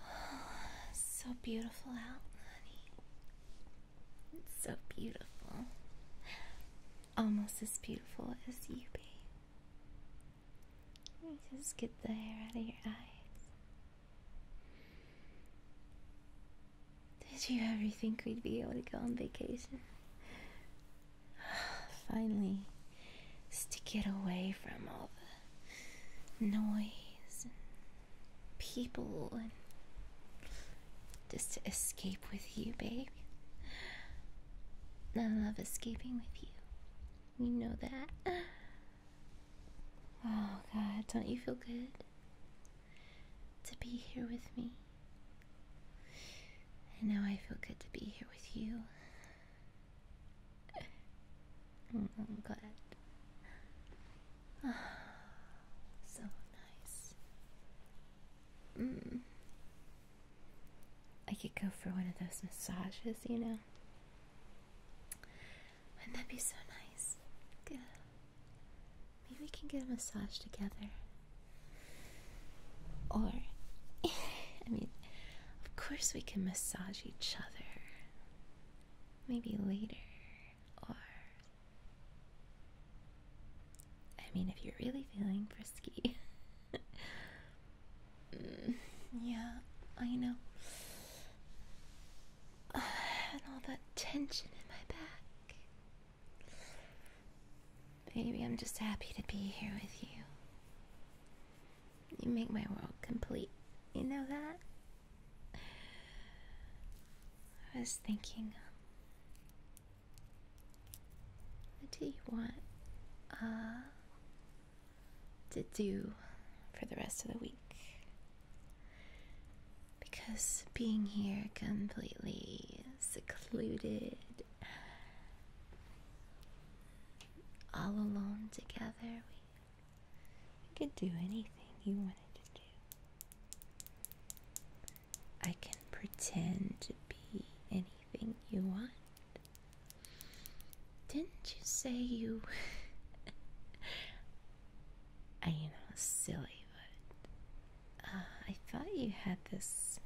so beautiful out, honey. It's so beautiful. Almost as beautiful as you, babe. Let me just get the hair out of your eyes. Did you ever think we'd be able to go on vacation? Finally, just to get away from all the noise people and just to escape with you, babe. I love escaping with you. You know that. Oh, God, don't you feel good to be here with me? And now I feel good to be here with you. I'm glad. so nice. Mm. I could go for one of those massages, you know. Wouldn't that be so nice? Maybe we can get a massage together. Or, I mean, of course we can massage each other. Maybe later or I mean, if you're really feeling frisky. Mm, yeah, I know. Uh, and all that tension in my back. Baby, I'm just happy to be here with you. You make my world complete. You know that? I was thinking, what do you want uh, to do for the rest of the week? Because being here completely secluded, all alone together, you could do anything you wanted to do. I can pretend to be anything you want. Didn't you say you. I, you know, silly, but. Uh, I thought you had this.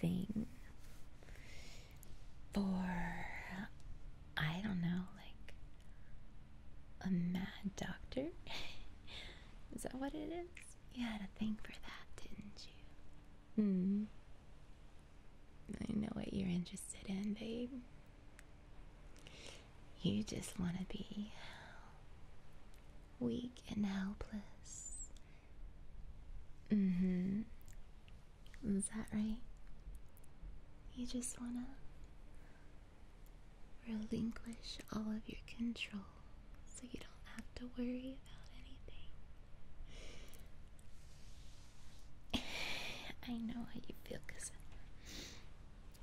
Thing for I don't know, like a mad doctor? is that what it is? You had a thing for that, didn't you? Hmm. I know what you're interested in, babe. You just want to be weak and helpless. Mm hmm. Is that right? You just wanna relinquish all of your control so you don't have to worry about anything. I know how you feel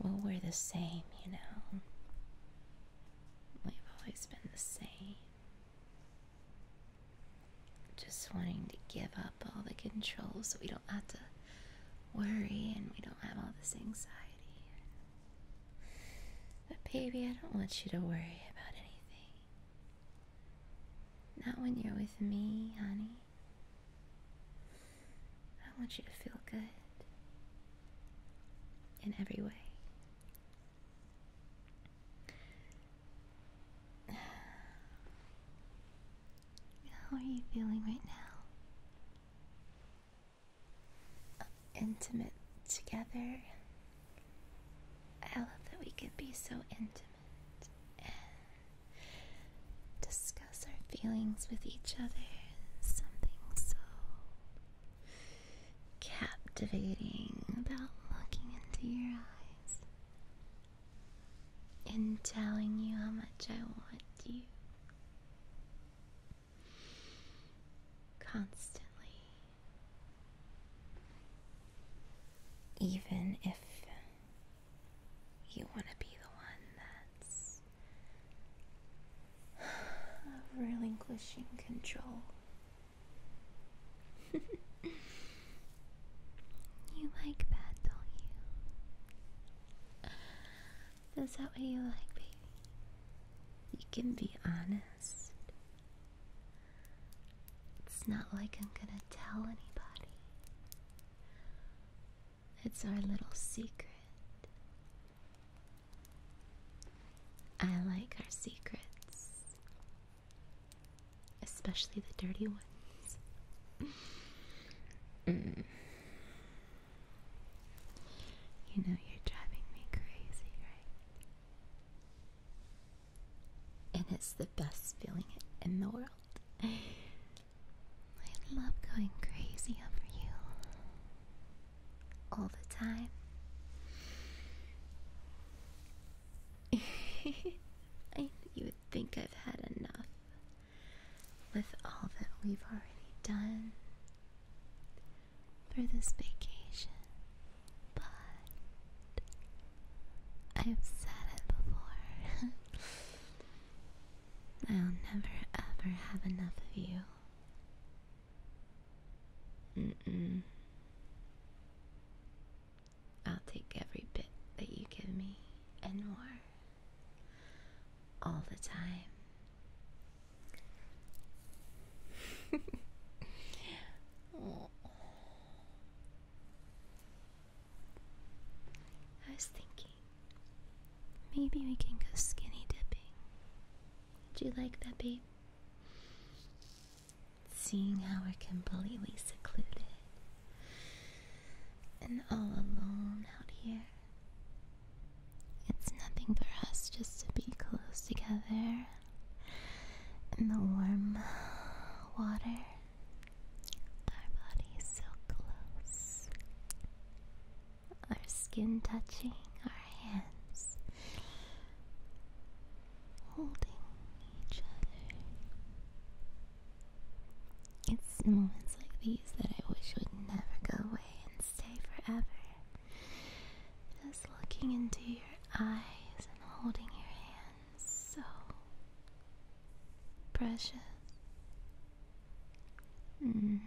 well, we're the same, you know. We've always been the same. Just wanting to give up all the controls so we don't have to worry and we don't have all this anxiety. But, baby, I don't want you to worry about anything. Not when you're with me, honey. I want you to feel good in every way. How are you feeling right now? intimate together. I love that we can be so intimate and discuss our feelings with each other. Something so captivating about looking into your eyes and telling you how much I want you constantly. Even if you want to be the one that's relinquishing control. You like that, don't you? Is that what you like, baby? You can be honest. It's not like I'm gonna tell anybody. It's our little secret. I like our secrets especially the dirty ones. Mm. You know you're driving me crazy, right? And it's the best feeling in the world. I love going crazy over you all the time. I you would think I've had enough with all that we've already done for this vacation, but I've said it before. I'll never ever have enough of you. Mm-mm. I'll take every bit that you give me and more. All the time. I was thinking maybe we can go skinny dipping. Would you like that, babe? seeing how we're completely secluded and all alone out here. It's nothing for us just to be close together in the warm water. Our bodies so close. Our skin touching, our hands holding each other. It's moments like these that I wish would never go away and stay forever. Just looking into your eyes and holding your hands so precious. Mm.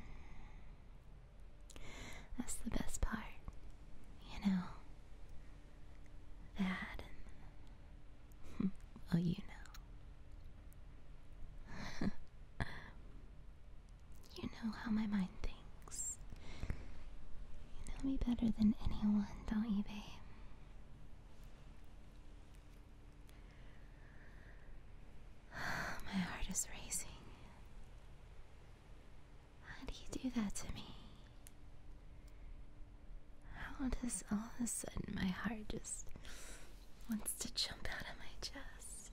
That's the best part, you know that oh you know you know how my mind thinks you know me better than anyone don't you babe my heart is racing. How do you do that to me? How does all of a sudden my heart just wants to jump out of my chest?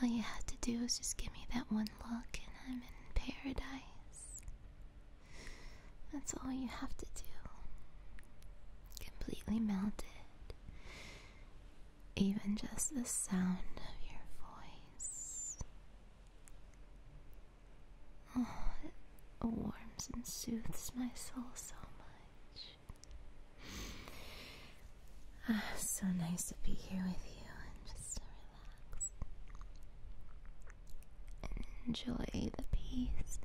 All you had to do was just give me that one look, and I'm in paradise. That's all you have to do. Completely melted. Even just the sound of your voice. Oh, it warms and soothes my soul so much. Ah, so nice to be here with you and just to relax enjoy the peace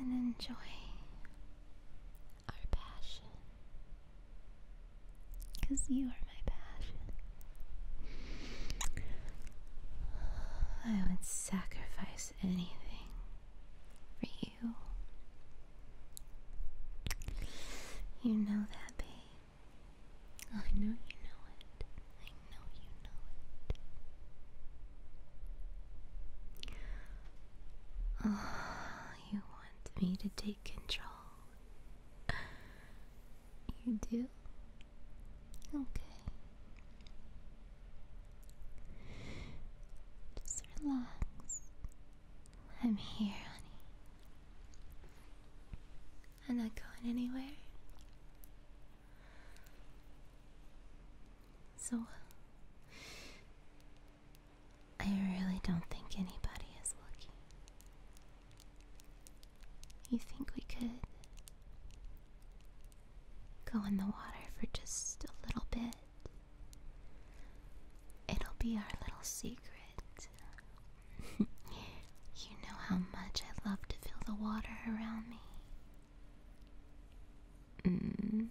and enjoy our passion. Because you are my passion. I would sacrifice anything for you. You know that, babe. Oh, I know you know it. I know you know it. Oh, you want me to take control you do? Okay. Just relax. I'm here, honey. I'm not going anywhere. So, I really don't think anybody is looking. You think we could go in the water for just a little bit? It'll be our little secret. you know how much I love to feel the water around me. Mm.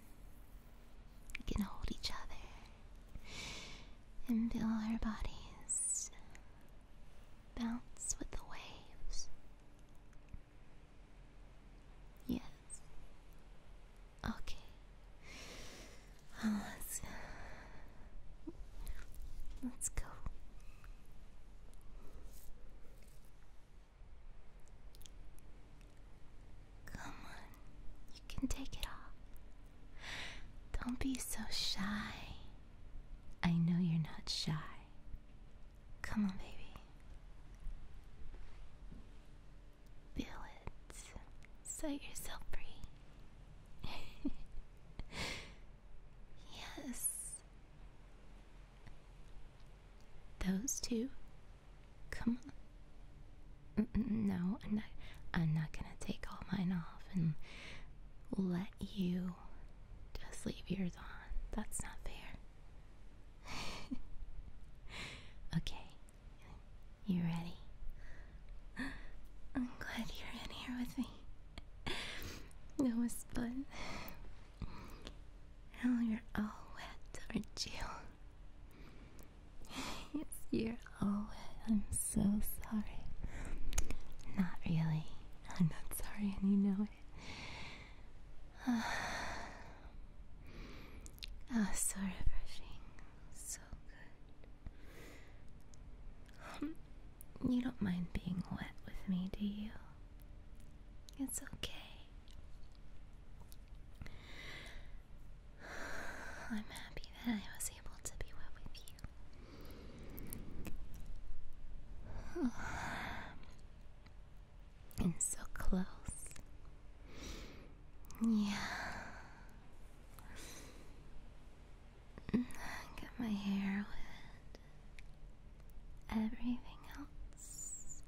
We can hold each other and feel our bodies bounce with the waves. Yes. Okay. Um, let's, let's go. Come on, you can take it off. Don't be so shy. I know you're not shy. Come on, baby. Feel it. Set yourself free. yes. Those two Come on. No, I'm not, I'm not gonna take all mine off and let you just leave yours on. That's not fair. okay, you ready? I'm glad you're in here with me. No was fun. Now you're all wet, aren't you? it's your oh I'm so sorry. Not really. I'm not sorry and you know it. Ah, oh, so refreshing. So good. you don't mind being wet with me, do you? It's okay. I'm happy that I was able to be with you. And so close. Yeah. Get my hair with Everything else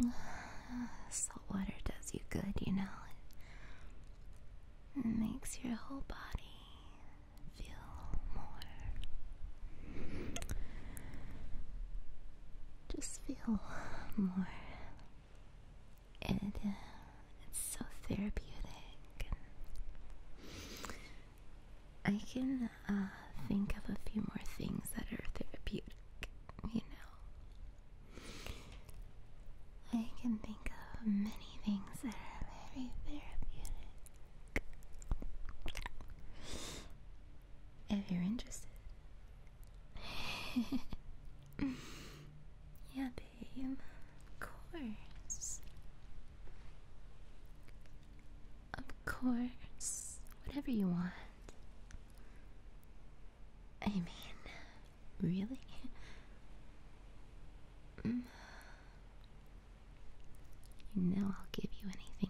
Salt water does you good, you know. It makes your whole body feel more. Just feel more. It, uh, it's so therapeutic. I can uh, think of a few more things that are therapeutic, you know. I can think of many things that are very therapeutic. If you're interested. yeah, babe. Of course. Of course, whatever you want. I mean, really? Mm. You know I'll give you anything you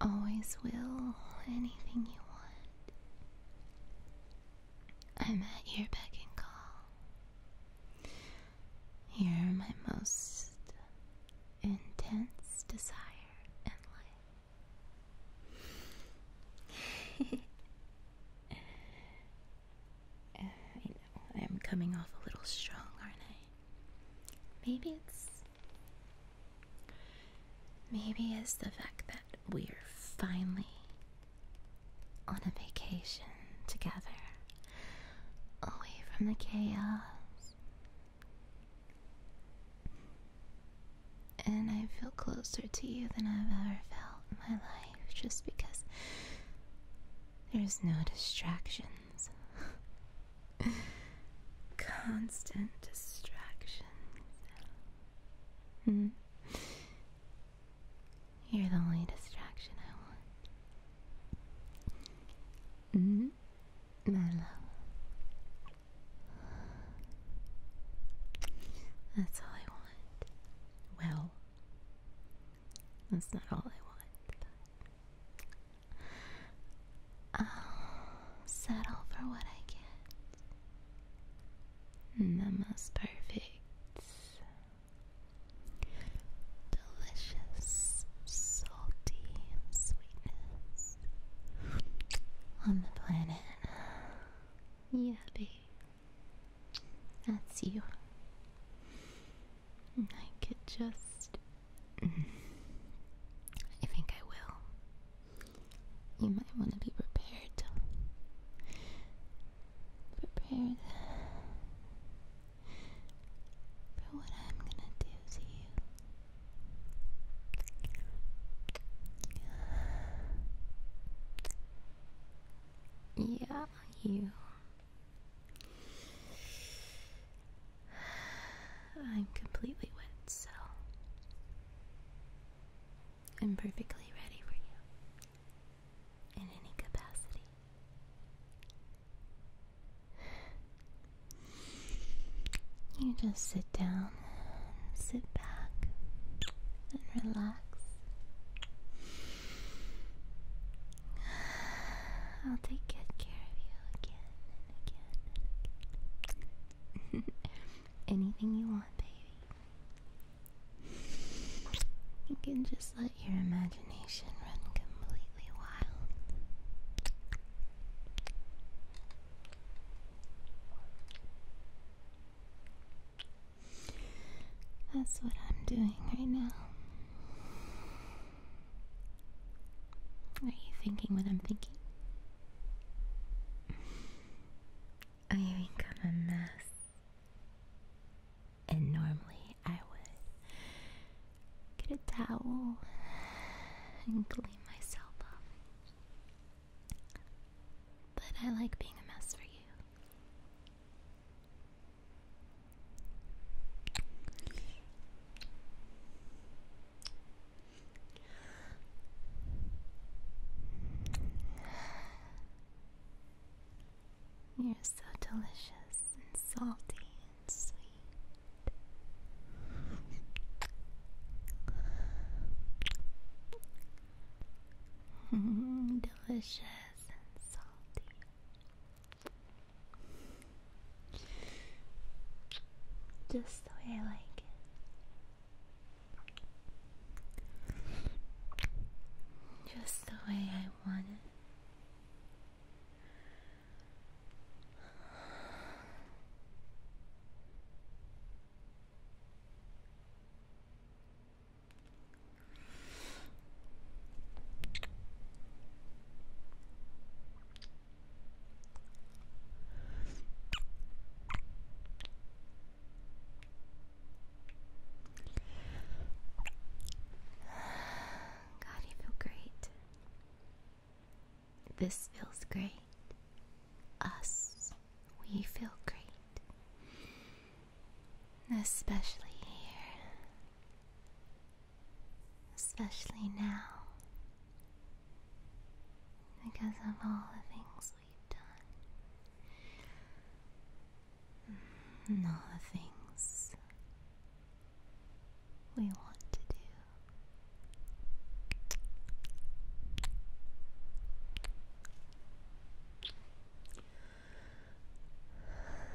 want. I always will, anything you want. I'm at your beck and call. Here are my most intense desire in life. I know, I'm coming off a little strong, aren't I? Maybe it's. Maybe it's the fact that we're finally on a vacation together, away from the chaos. And I feel closer to you than I've ever felt in my life just because there's no distractions. Constant distractions. Hmm. You're the only distraction I want. Mm-hmm. My love. That's all I want. Well, that's not all I want. I'll settle for what I get. The most perfect delicious salty sweetness on the planet. Yeah, babe. That's you. I could just. I think I will. You might want to be prepared prepared for what I'm gonna do to you. Yeah, you. I'm completely wet, so I'm perfectly ready for you. You just sit down, sit back, and relax. I'll take good care of you again and again and again. Anything you want, baby. You can just let your imagination run completely wild. That's what I'm doing right now. Are you thinking what I'm thinking? I become a mess. And normally I would get a towel and clean myself up. But I like being a mess for you. You're so delicious and salty and sweet. delicious and salty. Just the way I like it. Just the way I want it. God, you feel great. This feels great. Us, we feel great. Especially here. Especially now. Because of all the things all the things we want to do.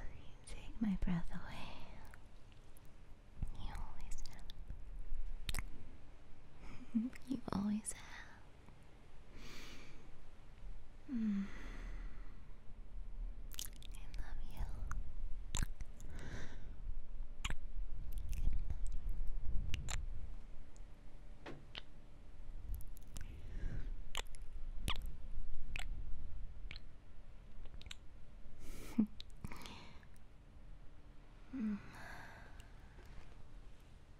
You take my breath away. You always have. you always have. Mm. I love you. mm.